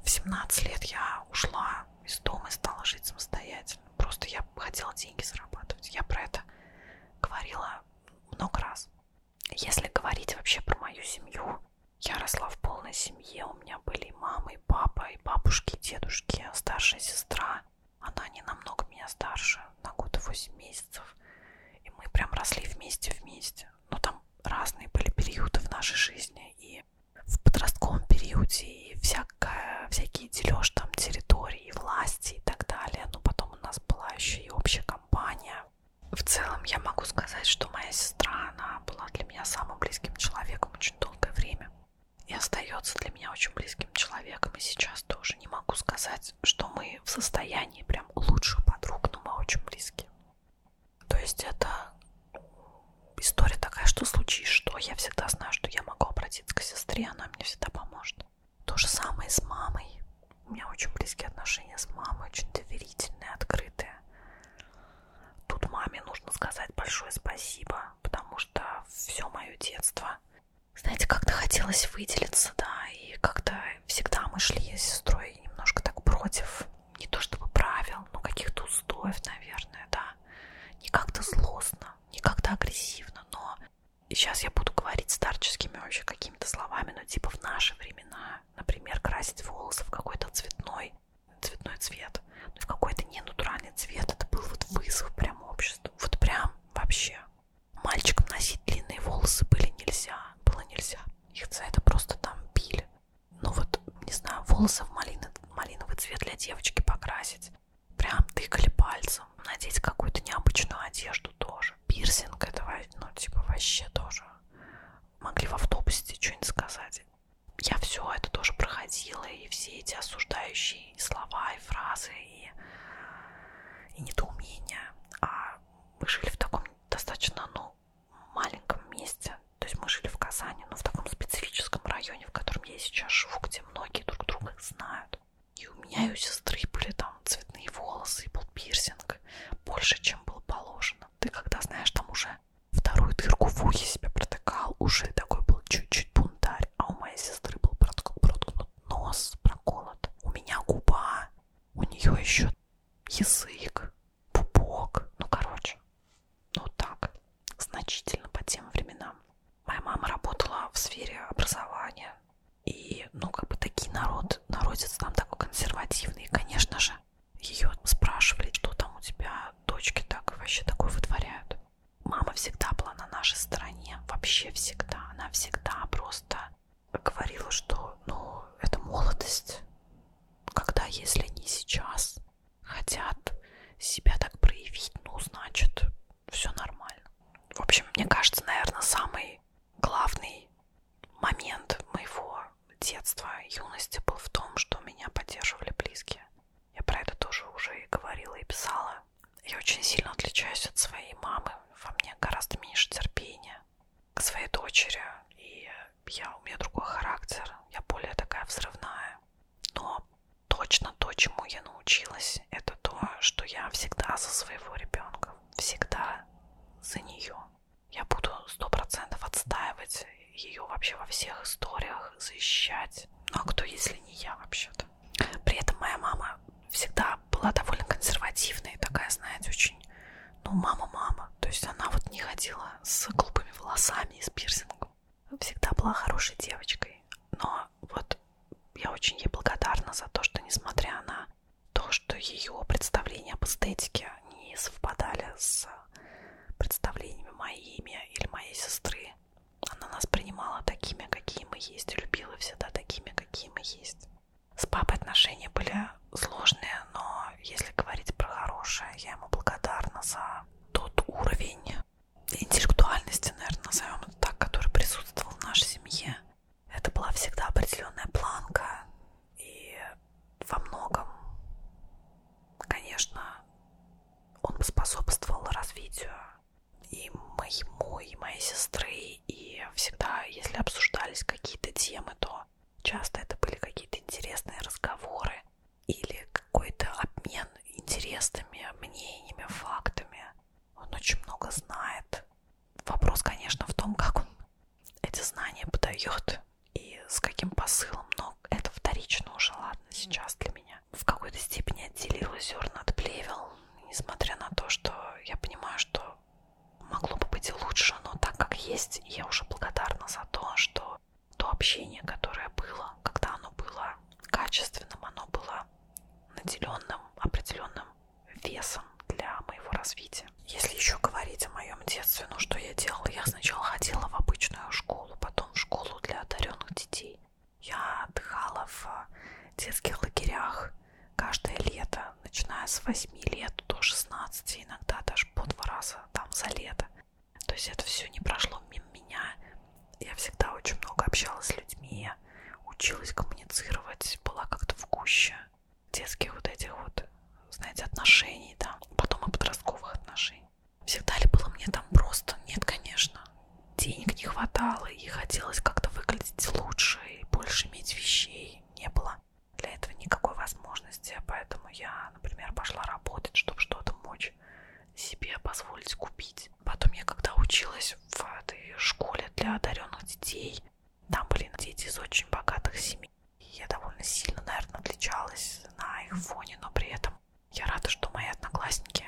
В 17 лет я ушла из дома и стала жить самостоятельно. Просто я хотела деньги зарабатывать. Я про это говорила много раз. Если говорить вообще про мою семью, я росла в полной семье. У меня были и мама, и папа, и бабушки, и дедушки, старшая сестра. Она не намного меня старше, на год и 8 месяцев. И мы прям росли вместе-вместе. Но там разные были периоды в нашей жизни. И в подростковом периоде, и всякая, всякие дележ там территории, власти и так далее. Но потом у нас была еще и общая компания. В целом я могу сказать, что моя сестра, она была для меня самым близким человеком очень долгое время и остается для меня очень близким человеком. И сейчас тоже не могу сказать, что мы в состоянии прям лучших подруг, но мы очень близкие. То есть это история такая, что случись, что я всегда знаю, что я могу обратиться к сестре, она мне всегда поможет. То же самое с мамой. У меня очень близкие отношения с мамой, очень доверительные, открытые. Тут маме нужно сказать большое спасибо, потому что все мое детство знаете, как-то хотелось выделиться, да, и как-то всегда мы шли с сестрой немножко так против, не то чтобы правил, но каких-то устоев, наверное, да, не как-то злостно, не как-то агрессивно, но и сейчас я буду говорить старческими вообще какими-то словами, но типа в наши времена, например, красить волосы в какой-то цветной, цветной цвет, но ну, в какой-то ненатуральный цвет, это был вот вызов прям обществу, вот прям вообще Мальчикам носить длинные волосы были нельзя, было нельзя. Их за это просто там били. Ну вот, не знаю, волосы в малины, малиновый цвет для девочки покрасить. Прям тыкали пальцем. Надеть какую-то необычную одежду тоже. Пирсинг это, ну, типа, вообще тоже. Могли в автобусе что-нибудь сказать. Я все это тоже проходила, и все эти осуждающие вещи, и слова, и фразы, и, и недоумения. А мы жили в таком достаточно, ну, маленьком месте. То есть мы жили в Казани, но в таком специфическом районе, в котором я сейчас живу, где многие друг друга знают. И у меня и у сестры были там цветные волосы, и был пирсинг больше, чем было положено. Ты когда, знаешь, там уже вторую дырку в ухе себе протыкал, уже такой был чуть-чуть бунтарь губами, а у моей сестры был проткнут нос, проколот. У меня губа, у нее еще язык, пупок. Ну, короче, ну так, значительно по тем временам. Моя мама работала в сфере образования. И, ну, как бы такие народ, народец там такой консервативный. И, конечно же, ее спрашивали, что там у тебя дочки так вообще такое вытворяют мама всегда была на нашей стороне, вообще всегда. Она всегда просто говорила, что, ну, это молодость, когда, если не сейчас, хотят себя так проявить, ну, значит, все нормально. В общем, мне кажется, наверное, самый главный момент моего детства, юности был в том, что меня поддерживали близкие. Я про это тоже уже и говорила и писала. Я очень сильно отличаюсь от своей мамы. Во мне гораздо меньше терпения к своей дочери. И я, у меня другой характер. Я более такая взрывная. Но точно то, чему я научилась, это то, что я всегда за своего ребенка. Всегда за нее. Я буду сто процентов отстаивать ее вообще во всех историях, защищать. Ну а кто, если не я вообще-то? При этом моя мама всегда была довольно консервативная, такая, знаете, очень, ну, мама-мама. То есть она вот не ходила с глупыми волосами и с пирсингом. Всегда была хорошей девочкой. Но вот я очень ей благодарна за то, что, несмотря на то, что ее представления об эстетике не совпадали с представлениями моими или моей сестры, она нас принимала такими, какие мы есть, любила всегда такими, какие мы есть. С папой отношения были сложные, но если говорить про хорошее, я ему благодарна за тот уровень интеллектуальности, наверное, назовем это так, который присутствовал в нашей семье. Это была всегда определенная планка, и во многом, конечно, он способствовал развитию и моему, и моей сестры, и всегда, если обсуждались какие-то темы, то часто это были какие-то интересные разговоры или какой-то обмен интересными мнениями, фактами. Он очень много знает. Вопрос, конечно, в том, как он эти знания подает и с каким посылом, но это вторично уже, ладно, сейчас для меня. В какой-то степени отделил зерна от плевел, несмотря на то, что я понимаю, что могло бы быть и лучше, но так как есть, я уже благодарна за то, что то общение, которое было, когда оно было качественным, оно было наделенным определенным весом для моего развития. Если еще говорить о моем детстве, ну что я делала? Я сначала ходила в обычную школу, потом в школу для одаренных детей. Я отдыхала в детских лагерях каждое лето, начиная с 8 лет до 16, иногда даже по два раза там за лето. То есть это все не прошло мимо меня. Я всегда очень много общалась с людьми, училась коммуницировать, была как-то в гуще детских вот этих вот, знаете, отношений, да, потом и подростковых отношений. Всегда ли было мне там просто? Нет, конечно денег не хватало, и хотелось как-то выглядеть лучше и больше иметь вещей. Не было для этого никакой возможности, поэтому я, например, пошла работать, чтобы что-то мочь себе позволить купить. Потом я когда училась в этой школе для одаренных детей, там были дети из очень богатых семей. И я довольно сильно, наверное, отличалась на их фоне, но при этом я рада, что мои одноклассники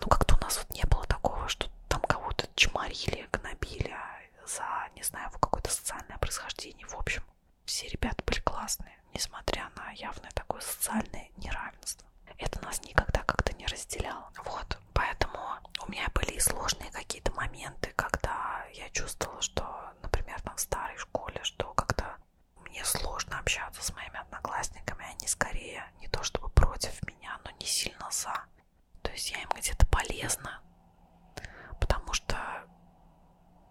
ну, как-то у нас вот не было такого, что там кого-то чморили, гнобили а за, не знаю, какое-то социальное происхождение. В общем, все ребята были классные, несмотря на явное такое социальное неравенство. Это нас никогда как-то не разделяло. Вот, поэтому у меня были и сложные какие-то моменты, когда я чувствовала, что, например, там в старой школе, что как-то мне сложно общаться с моими одноклассниками, они скорее не то чтобы против меня, но не сильно за. То есть я им где-то полезна, потому что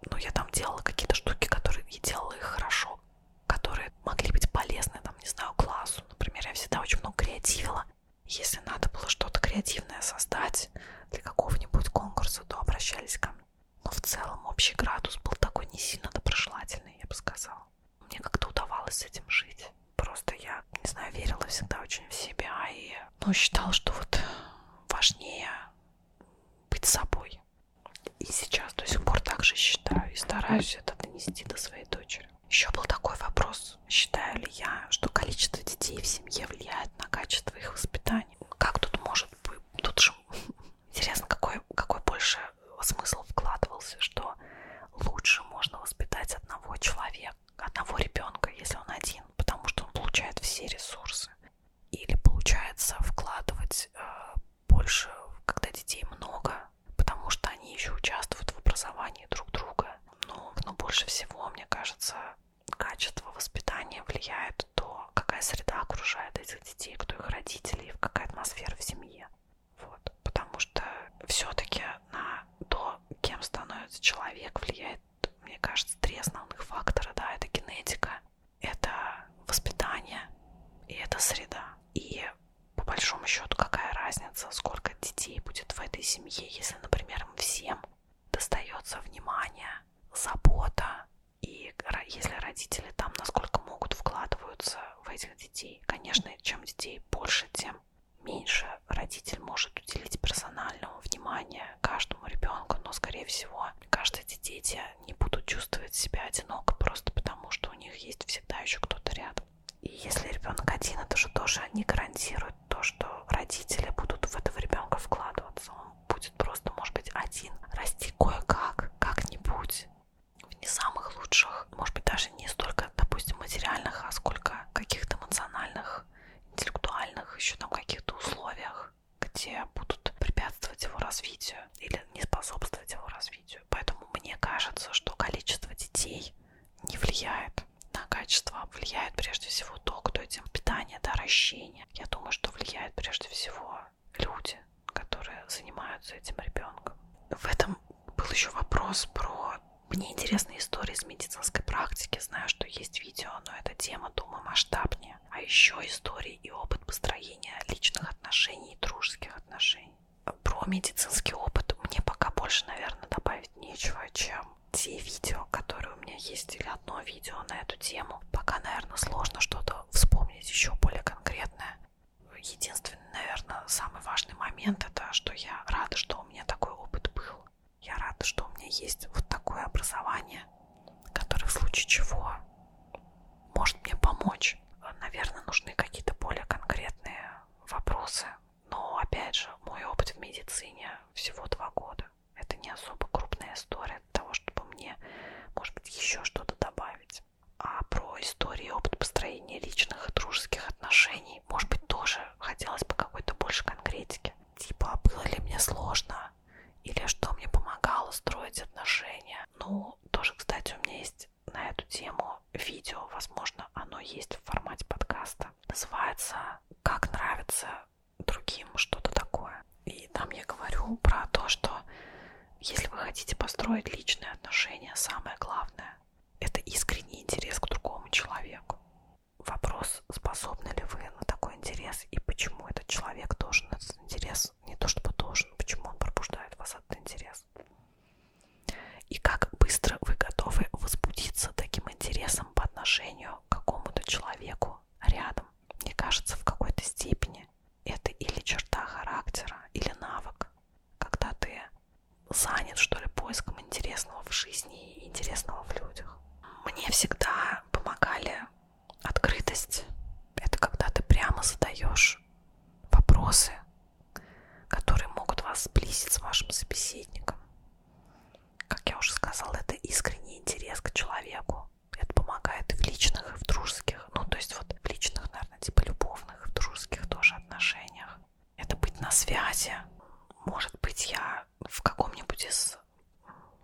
ну, я там делала какие-то штуки, которые я делала их хорошо, которые могли быть полезны, там, не знаю, классу. Например, я всегда очень много креативила. Если надо было что-то креативное создать для какого-нибудь конкурса, то обращались ко мне. Но в целом общий градус был такой не сильно доброжелательный, я бы сказала. Мне как-то удавалось с этим жить. Просто я, не знаю, верила всегда очень в себя и ну, считала, что вот важнее быть собой. И сейчас до сих пор так же считаю и стараюсь это донести до своей дочери. Еще был такой вопрос, считаю ли я, что количество детей в семье влияет на качество их воспитания. Как тут может быть? Тут же интересно, какой, какой больше смысл вкладывался, что лучше можно воспитать одного человека, одного ребенка, если он один, потому что он получает все ресурсы. Или получается вкладывать э, больше, когда детей много, потому что они еще участвуют в образовании друг друга. Но, но больше всего, мне кажется, качество воспитания влияет то, какая среда окружает этих детей, кто их родители и какая атмосфера в семье. Вот. Потому что все-таки на то, кем становится человек, влияет, мне кажется, три основных фактора. Да? Это генетика, это воспитание и это среда. И по большому счету, какая разница, сколько детей будет в этой семье, если, например, им всем достается внимание, забота, и если родители там насколько могут вкладываются в этих детей, конечно, чем детей больше, тем меньше родитель может уделить персонального внимания каждому ребенку, но, скорее всего, каждые эти дети не будут чувствовать себя одиноко просто потому, что у них есть всегда еще кто-то рядом. И если ребенок один, это же тоже не гарантирует то, что родители будут в этого ребенка вкладываться. Он будет просто, может быть, один расти кое-как, как-нибудь в не самых лучших, может быть, даже даже не столько, допустим, материальных, а сколько каких-то эмоциональных, интеллектуальных, еще там каких-то условиях, где будут препятствовать его развитию или не способствовать его развитию. Поэтому мне кажется, что количество детей не влияет на качество, а влияет прежде всего то, кто этим питание, да, ращение. Я думаю, что влияет прежде всего люди, которые занимаются этим ребенком. В этом был еще вопрос про мне интересны истории из медицинской практики. Знаю, что есть видео, но эта тема, думаю, масштабнее. А еще истории и опыт построения личных отношений и дружеских отношений. Про медицинский опыт мне пока больше, наверное, добавить нечего, чем те видео, которые у меня есть, или одно видео на эту тему. Пока, наверное, сложно что-то вспомнить еще более конкретное. Единственное, единственный, наверное, самый важный момент это, что я рада, что у меня такой опыт был. Я рада, что у меня есть вот такое образование, которое в случае чего может мне помочь. Наверное, нужны какие-то более конкретные вопросы. Но, опять же, мой опыт в медицине всего два года. Это не особо крупная история для того, чтобы мне, может быть, еще что-то добавить. А про историю и опыт построения личных и дружеских отношений, может быть, тоже хотелось бы какой-то больше конкретики. Типа, а было ли мне сложно? Или что мне помогало строить отношения? Ну, тоже, кстати, у меня есть на эту тему видео, возможно, оно есть в формате подкаста. Называется «Как нравится другим что-то такое». И там я говорю про то, что если вы хотите построить личные отношения, самое главное это искренний интерес к другому человеку. Вопрос, способны ли вы на такой интерес и почему этот человек должен этот интерес, не то чтобы должен, почему он пробуждает вас этот интерес. И как быстро вы готовы возбудиться таким интересом по отношению к какому-то человеку рядом. Мне кажется, в какой-то степени это или черта характера, или навык. Когда ты занят, что ли, поиском интересного в жизни и интересного в людях. Мне всегда помогали открытость. Это когда ты прямо задаешь вопросы, которые могут вас сблизить с вашим собеседником. Как я уже сказала, это искренний интерес к человеку. Это помогает и в личных, и в дружеских. Ну, то есть вот в личных, наверное, типа любовных, в дружеских тоже отношениях это быть на связи. Может быть, я в каком-нибудь из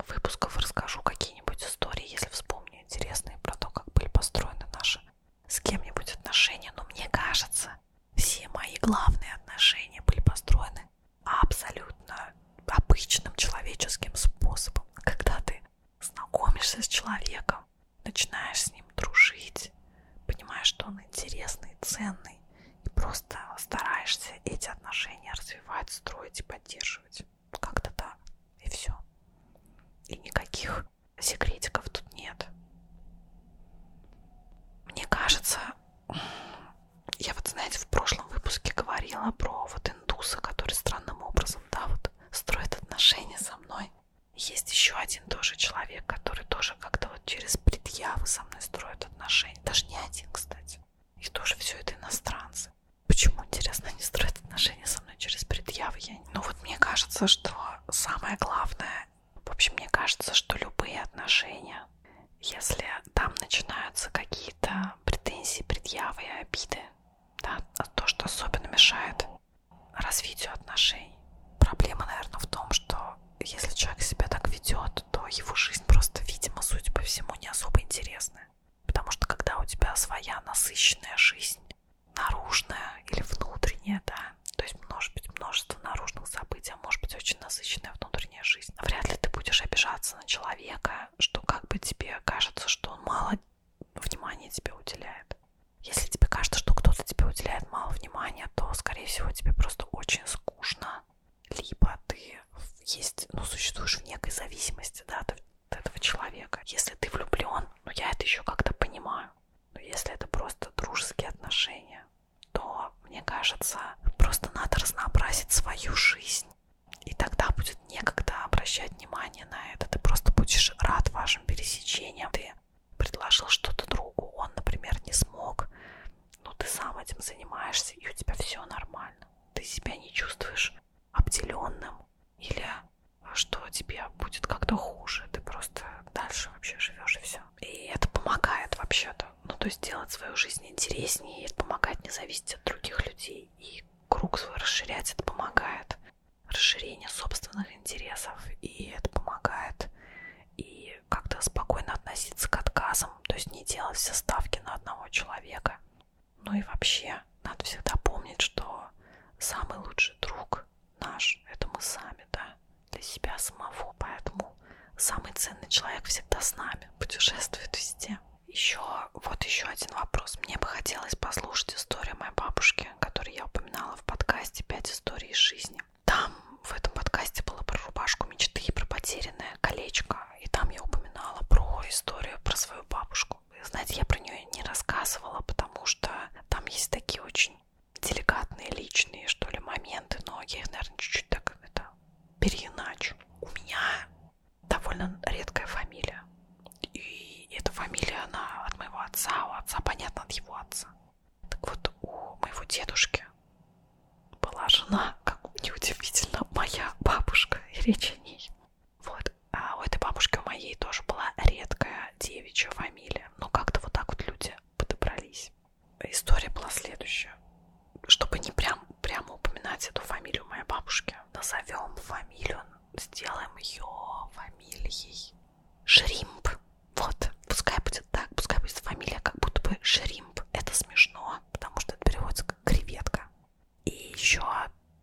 выпусков расскажу какие-нибудь истории, если вспомню интересные про то, как были построены наши с кем-нибудь отношения. Но мне кажется, все мои главные отношения были построены абсолютно обычным человеческим способом. Когда ты знакомишься с человеком, начинаешь с ним дружить, понимаешь, что он интересный, ценный, и просто стараешься эти отношения развивать, строить и поддерживать. Как-то так. И все. И никаких секретиков тут нет. Мне кажется, я вот, знаете, в прошлом выпуске говорила про вот индуса, который странным образом, да, вот строит отношения со мной. Есть еще один тоже человек, который тоже как-то вот через предъявы со мной строят отношения. Даже не один, кстати. И тоже все это иностранцы. Почему, интересно, они строят отношения со мной через предъявы? Я... Ну вот мне кажется, что самое главное, в общем, мне кажется, что любые отношения, если там начинаются какие-то претензии, предъявы и обиды, да, а то, что особенно мешает развитию отношений. Проблема, наверное, в том, что если человек себя так ведет, то его жизнь просто, видимо, судя по всему, не особо интересная. Потому что когда у тебя своя насыщенная жизнь, наружная или внутренняя, да, то есть может быть множество наружных событий, а может быть очень насыщенная внутренняя жизнь, вряд ли ты будешь обижаться на человека, что как бы тебе кажется, что он мало внимания тебе уделяет. Если тебе кажется, что кто-то тебе уделяет мало внимания, внимания, то, скорее всего, тебе просто очень скучно. Либо ты есть, ну, существуешь в некой зависимости, да, от этого человека. Если ты влюблен, ну, я это еще как-то понимаю. Но если это просто дружеские отношения, то, мне кажется, просто надо разнообразить свою жизнь. И тогда будет некогда обращать внимание на это. Ты просто будешь рад вашим пересечениям. Ты предложил что-то другу, он, например, не смог, но ну, ты сам этим занимаешься, и у тебя все нормально. Ты себя не чувствуешь обделенным или а, что тебе будет как-то хуже. Ты просто дальше вообще живешь и все. И это помогает вообще-то. Ну, то есть делать свою жизнь интереснее, и это помогает не зависеть от других людей. И круг свой расширять, это помогает. Расширение собственных интересов, и это помогает и как-то спокойно относиться к отказам, то есть не делать все ставки на одного человека. Ну и вообще, надо всегда помнить, что самый лучший друг наш – это мы сами, да, для себя самого, поэтому самый ценный человек всегда с нами, путешествует везде. Еще, вот еще один вопрос. Мне бы хотелось послушать историю моей бабушки, которую я упоминала в подкасте «Пять историй из жизни». Там в этом подкасте было про рубашку мечты и про потерянное колечко. И там я упоминала про историю про свою бабушку. Знаете, я про нее не рассказывала, потому что там есть такие очень деликатные личные, что ли, моменты, но я их, наверное, чуть-чуть так это переиначу. У меня довольно редкая фамилия. И эта фамилия, она от моего отца, у отца, понятно, от его отца. Так вот, у моего дедушки была жена, как неудивительно, моя бабушка, и речь о ней. Вот, а у этой бабушки, у моей тоже была редкая девичья фамилия. Но ну, как-то вот так вот люди подобрались. История была следующая. Чтобы не прям, прямо упоминать эту фамилию моей бабушки, назовем фамилию, сделаем ее фамилией Шримп. Вот, пускай будет так, пускай будет фамилия как будто бы Шримп. Это смешно, потому что это переводится как креветка. И еще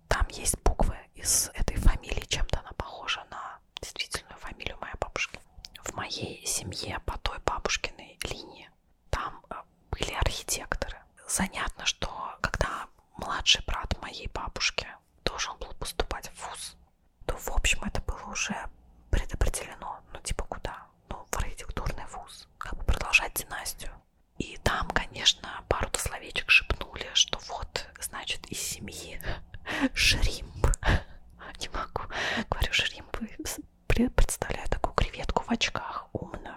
там есть буквы из этой фамилии, чем-то она похожа на действительную фамилию моей бабушки. В моей семье по той бабушкиной линии там э, были архитекторы. Занятно, что когда младший брат моей бабушки должен был поступать в ВУЗ, то, в общем, это было уже предопределено, ну, типа, куда? ну, в архитектурный вуз, как бы продолжать династию. И там, конечно, пару-то словечек шепнули, что вот, значит, из семьи Шримп. Не могу. Говорю, Шримп представляю такую креветку в очках, умную.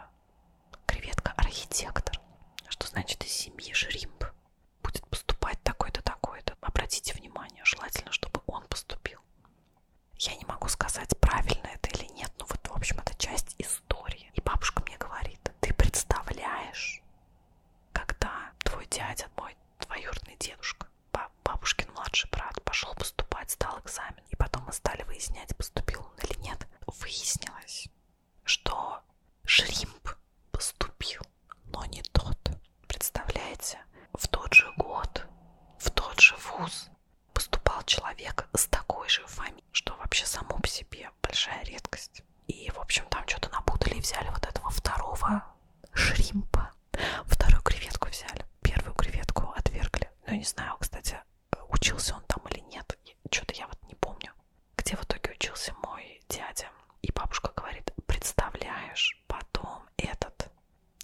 Креветка-архитектор. Что значит из семьи Шримп? Будет поступать такой-то, такой-то. Обратите внимание, желательно, чтобы он поступил. Я не могу сказать, правильно это или нет, но вот, в общем, это часть истории. И бабушка мне говорит, ты представляешь, когда твой дядя, мой двоюродный дедушка, бабушкин младший брат, пошел поступать, сдал экзамен, и потом мы стали выяснять, поступил он или нет. Выяснилось, что Шримп поступил, но не тот, Представляете? В тот же год, в тот же вуз поступал человек с такой же фамилией, что вообще само по себе большая редкость. И, в общем, там что-то напутали и взяли вот этого второго шримпа. Вторую креветку взяли. Первую креветку отвергли. Ну, не знаю, кстати, учился он там или нет. Что-то я вот не помню. Где в итоге учился мой дядя. И бабушка говорит, представляешь, потом этот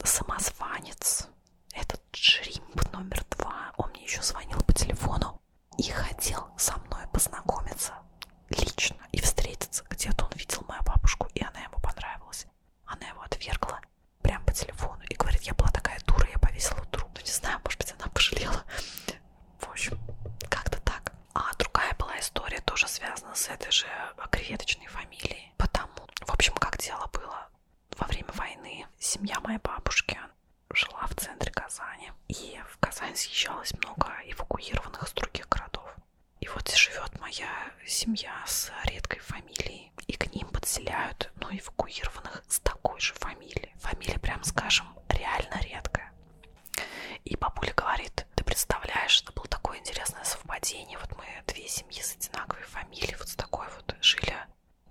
самозванец, этот шримп номер два, он мне еще звонил по телефону и хотел со мной познакомиться лично и встретиться. Где-то он видел мою бабушку, и она ему понравилась. Она его отвергла прям по телефону и говорит, я была такая дура, я повесила трубку. Ну, не знаю, может быть, она пожалела. В общем, как-то так. А другая была история, тоже связана с этой же креветочной фамилией. Потому, в общем, как дело было во время войны семья моей бабушки жила в центре Казани. И в Казань съезжалось много эвакуированных из других городов. И вот живет моя семья с редкой фамилией. И к ним подселяют, ну, эвакуированных с такой же фамилией. Фамилия, прям скажем, реально редкая. И бабуля говорит, ты представляешь, это было такое интересное совпадение. Вот мы две семьи с одинаковой фамилией фамилии, вот с такой вот жили,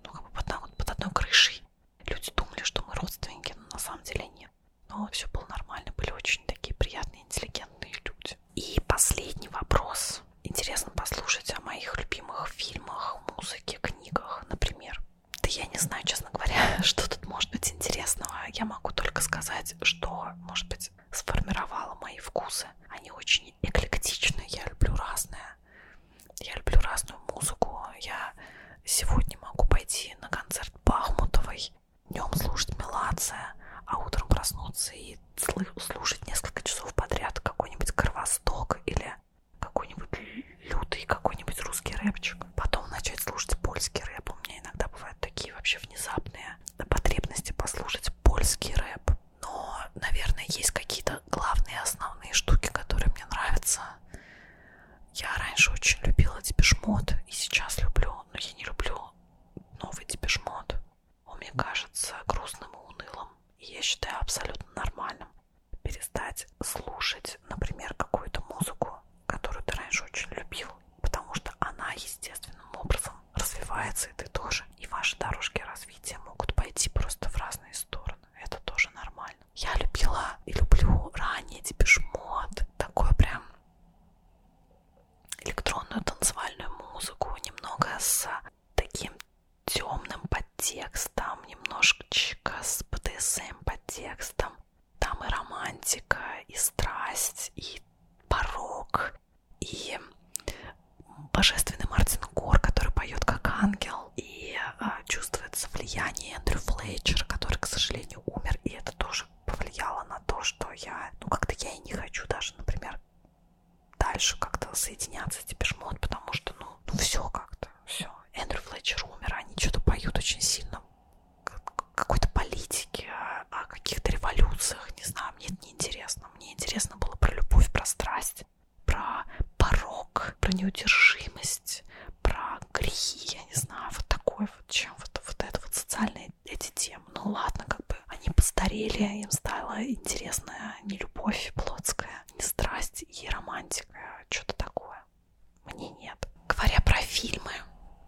ну, как бы под, одной, под одной крышей. Люди думали, что мы родственники, но на самом деле нет. Но все было нормально, были очень такие приятные, интеллигентные люди. И последний вопрос. Интересно послушать о моих любимых фильмах, музыке, книгах, например. Да я не знаю, честно говоря, что тут может быть интересного. Я могу только сказать, что, может быть, сказать, сформировала мои вкусы. Они очень эклектичны, я люблю разное. Я люблю разную музыку. Я сегодня могу пойти на концерт Бахмутовой, днем слушать Мелация, а утром проснуться и слушать несколько часов подряд какой-нибудь Кровосток или какой-нибудь лютый, какой-нибудь русский рэпчик. Потом начать слушать польский рэп. У меня иногда бывают такие вообще внезапные потребности послушать польский рэп но, наверное, есть какие-то главные основные штуки, которые мне нравятся. Я раньше очень любила дипешмот и сейчас люблю, но я не люблю новый дипешмот. Он мне кажется грустным и унылым. И я считаю абсолютно нормальным перестать слушать, например, какую-то музыку, которую ты раньше очень любил, потому что она естественным образом развивается, и ты тоже. И ваши дорожки развития могут пойти просто в разные стороны. Это тоже нормально. Я любила и люблю ранее депешмот. Такой прям электронную танцевальную музыку. Немного с таким темным подтекстом, немножечко с БДСМ подтекстом. Там и романтика, и страсть, и порог, и божественный Мартин Гор, который поет как ангел, и а, чувствуется влияние Эндрю Флетчера, который, к сожалению, умер, и это тоже повлияло на то, что я, ну, как-то я и не хочу даже, например, дальше как-то соединяться с Депешмот, потому что, ну, ну все как-то, все. Эндрю Флетчер умер, они что-то поют очень сильно какой-то политике, а, о каких-то революциях, не знаю, мне это неинтересно мне интересно было про любовь, про страсть, про порог, про неудержимость, про грехи, я не знаю, вот такой вот, чем вот, вот это вот социальные эти темы. Ну ладно, как бы они постарели, им стала интересная не любовь плотская, не страсть и романтика, что-то такое. Мне нет. Говоря про фильмы,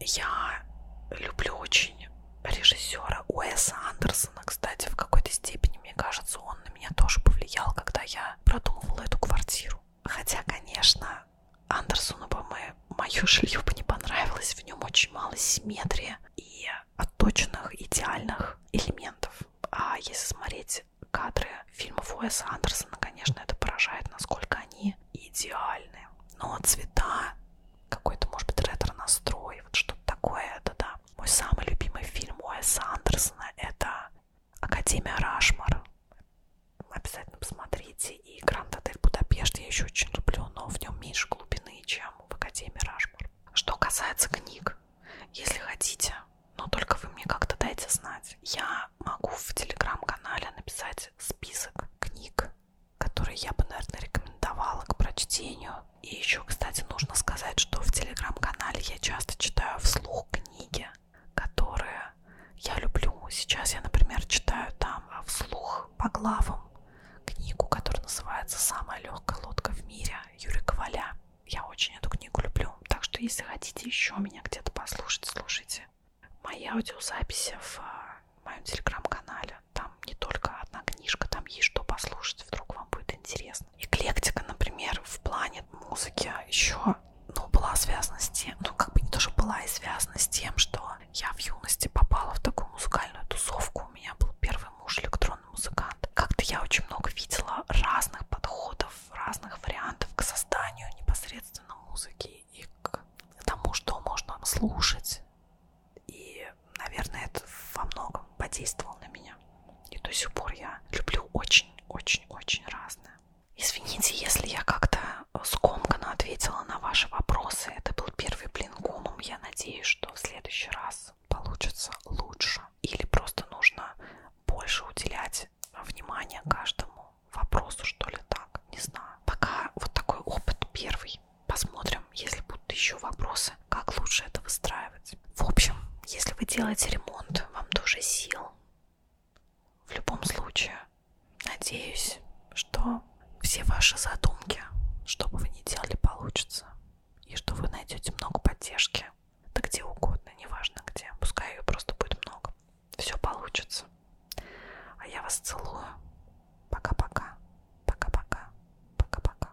я люблю очень режиссера Уэса Андерсона, кстати, в какой-то степени, мне кажется, он на меня тоже повлиял, когда я продумывала эту квартиру. Хотя, конечно, Андерсону бы мы, мое жилье бы не понравилось, в нем очень мало симметрии и отточенных идеальных элементов. А если смотреть кадры фильмов Уэса Андерсона, конечно, это поражает, насколько они идеальны. Но цвета, какой-то, может быть, ретро-настрой, вот что-то такое, это да. Мой самый любимый фильм Уэса Андерсона это Академия Рашмар. Обязательно посмотрите. И Гранд Отель Будапешт я еще очень люблю, но в нем меньше глубины, чем в Академии Рашмар. Что касается книг, если хотите, но только вы мне как-то дайте знать. Я могу в телеграм-канале написать список книг, которые я бы, наверное, рекомендовала к прочтению и еще, кстати, нужно сказать, что в телеграм-канале я часто читаю вслух книги, которые я люблю. Сейчас я, например, читаю там вслух по главам книгу, которая называется «Самая легкая лодка в мире» Юрия Коваля. Я очень эту книгу люблю. Так что, если хотите еще меня где-то послушать, слушайте мои аудиозаписи в а, моем телеграм-канале. Там не только одна книжка, там есть что послушать, вдруг вам будет интересно эклектика, например, в плане музыки а еще ну, была связана с тем, ну, как бы не то, что была и связана с тем, что я в юности попала в такую музыкальную тусовку. У меня был первый муж электронный музыкант. Как-то я очень много видела разных подходов, разных вариантов к созданию непосредственно музыки и к тому, что можно слушать и наверное, это во многом подействовало на меня. И до сих пор я люблю очень-очень-очень разное. Извините, если я как-то э, скомканно ответила на ваши вопросы. Это был первый блин гумом. Я надеюсь, что в следующий раз получится лучше. Или просто нужно больше уделять внимание каждому вопросу, что ли, так. Не знаю. Пока вот такой опыт первый. Посмотрим, если будут еще вопросы, как лучше это выстраивать. В общем, если вы делаете ремонт, вам тоже сил. В любом случае, надеюсь, что все ваши задумки, что бы вы ни делали, получится. И что вы найдете много поддержки. Да где угодно, неважно где. Пускай ее просто будет много. Все получится. А я вас целую. Пока-пока. Пока-пока. Пока-пока.